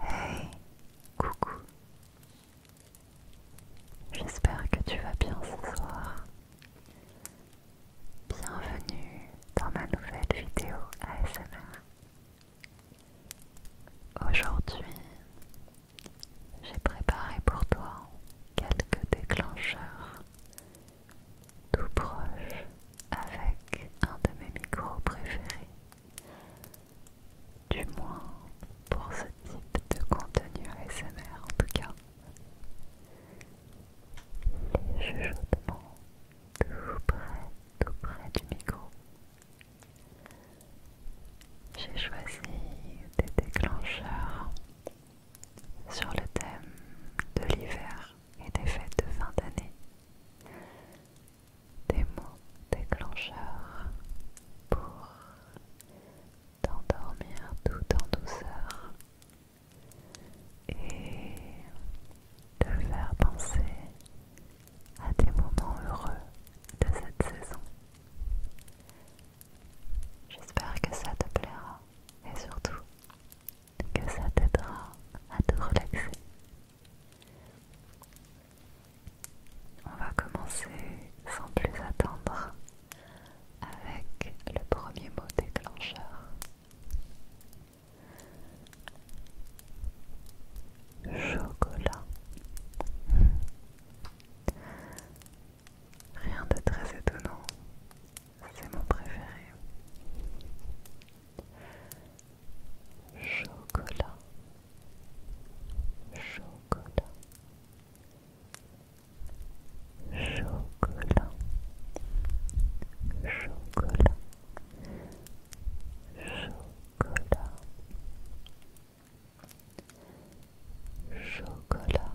Hey, coucou. J'espère que tu vas bien ce soir. Bienvenue dans ma nouvelle vidéo ASMR. Aujourd'hui, j'ai préparé pour toi quelques déclencheurs tout proche avec un de mes micros préférés, du moins pour ce type de contenu ASMR en tout cas. Les chuchotements tout près, tout près du micro. J'ai choisi des déclencheurs sur le thème de l'hiver et des fêtes de fin d'année. Des mots déclencheurs pour t'endormir tout en douceur et te faire penser à des moments heureux de cette saison. J'espère que ça te plaira et surtout que ça t'aidera à te relaxer. On va commencer sans plus attendre avec le premier mot déclencheur. Chocolat. Rien de très étonnant, c'est mon préféré. Chocolat. Chocolat. Chocolat. Chocolat. Chocolat. Chocolat.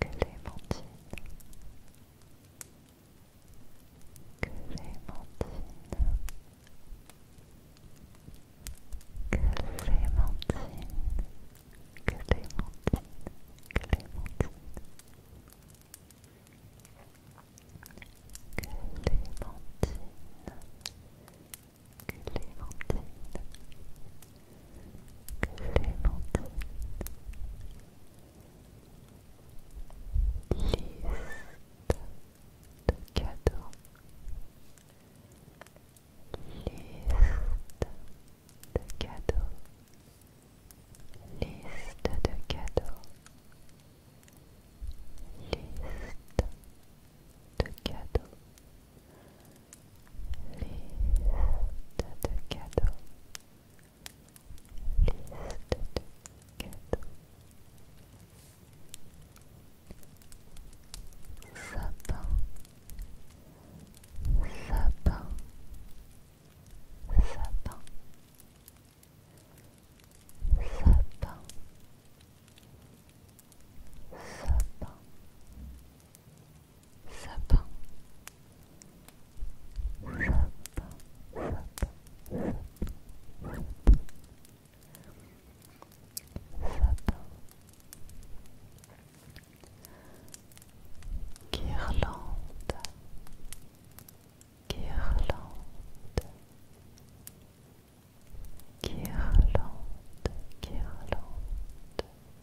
Que Clémentine que les mentines, que les mentines. Clémentine Liste de cadeaux Liste de cadeaux Liste de cadeaux Liste de cadeaux Liste de cadeaux. Liste de cadeaux. Sapin. Sapin. Sapin. Sapin. Sapin sapin, sapin, sapin, sapin, sapin, guirlande, guirlande,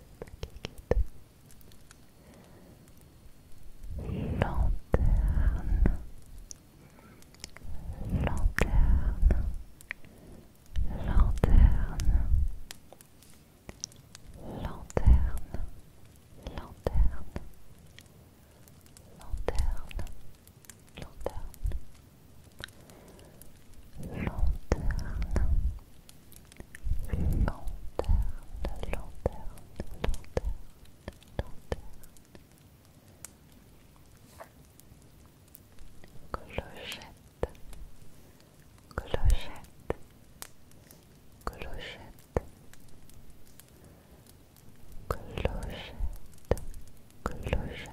lanterne lanterne lanterne lanterne lanterne lanterne lanterne lanterne, lanterne, lanterne, lanterne, lanterne, clochette, clochette, clochette. Clochette, clochette, clochette,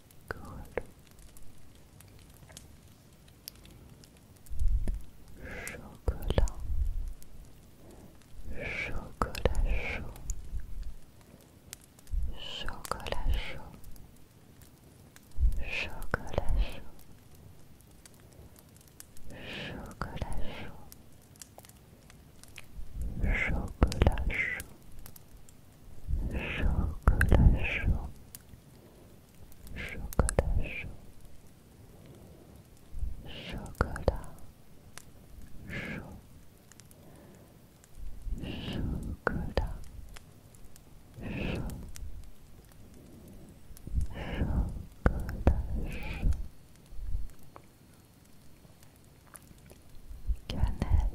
chocolat, chocolat chaud, chocolat chaud, chocolat chaud, chocolat chaud, chocolat chaud, chocolat chaud chocolat chaud, chocolat chaud, chocolat chaud, chocolat chaud, cannelle,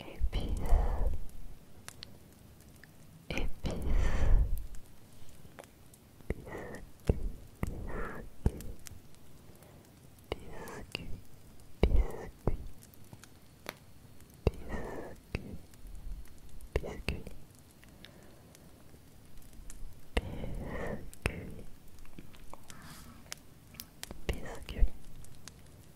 épices, épices, épices, biscuit, biscuit, biscuit, biscuit, biscuit, biscuit,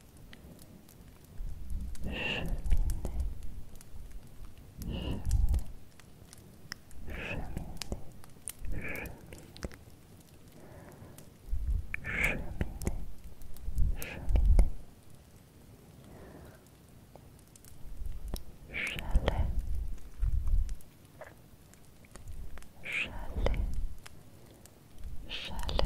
Chalet, chalet, chalet,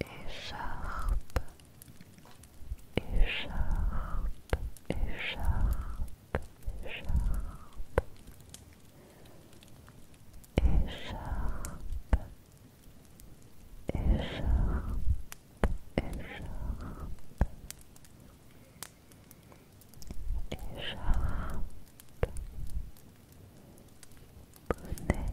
écharpe, écharpe, écharpe, écharpe, écharpe. Écharpe, écharpe, écharpe, bonnet,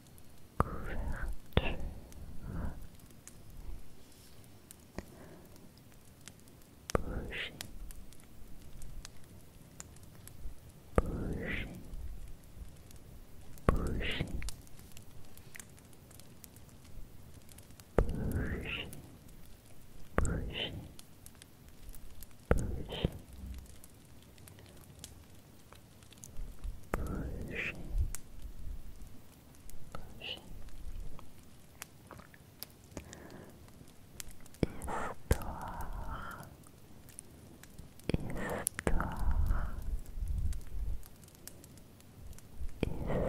couverture bouger bouger bouger bouger bouger bouger Bouger, prochaine. Histoire. Histoire. Histoire. Histoire.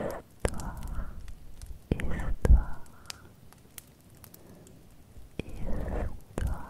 Histoire. Histoire.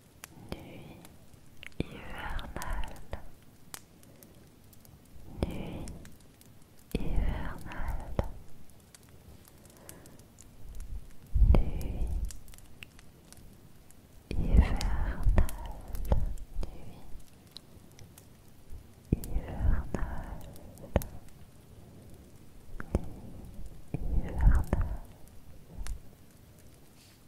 Nuit hivernale.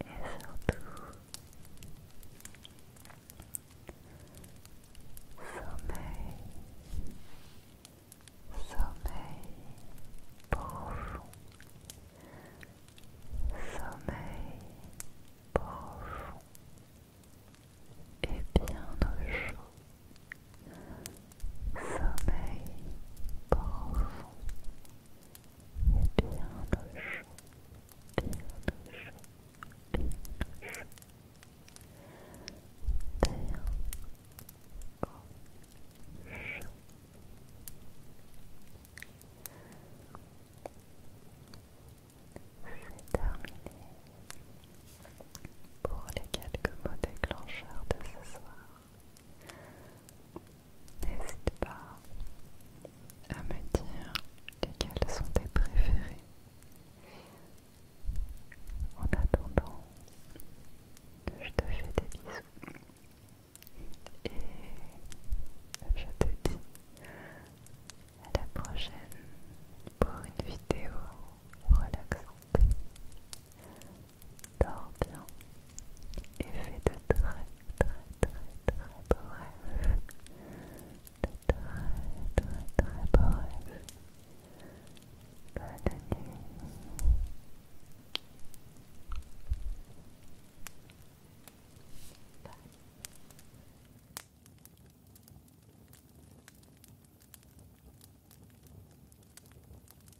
et surtout sommeil, sommeil profond, sommeil profond et bien au chaud, sommeil profond. Et Bernoche, terre, Bernoche. Bernoche. C'est terminé pour les quelques mots déclencheurs de ce soir. N'hésite pas à me dire lesquels sont tes préférées En attendant, je te fais des bisous et je te dis à la prochaine pour une vidéo relaxante. Dors bien et fais de très très très très beaux rêves. De très très très beaux rêves. Bonne nuit. Bye.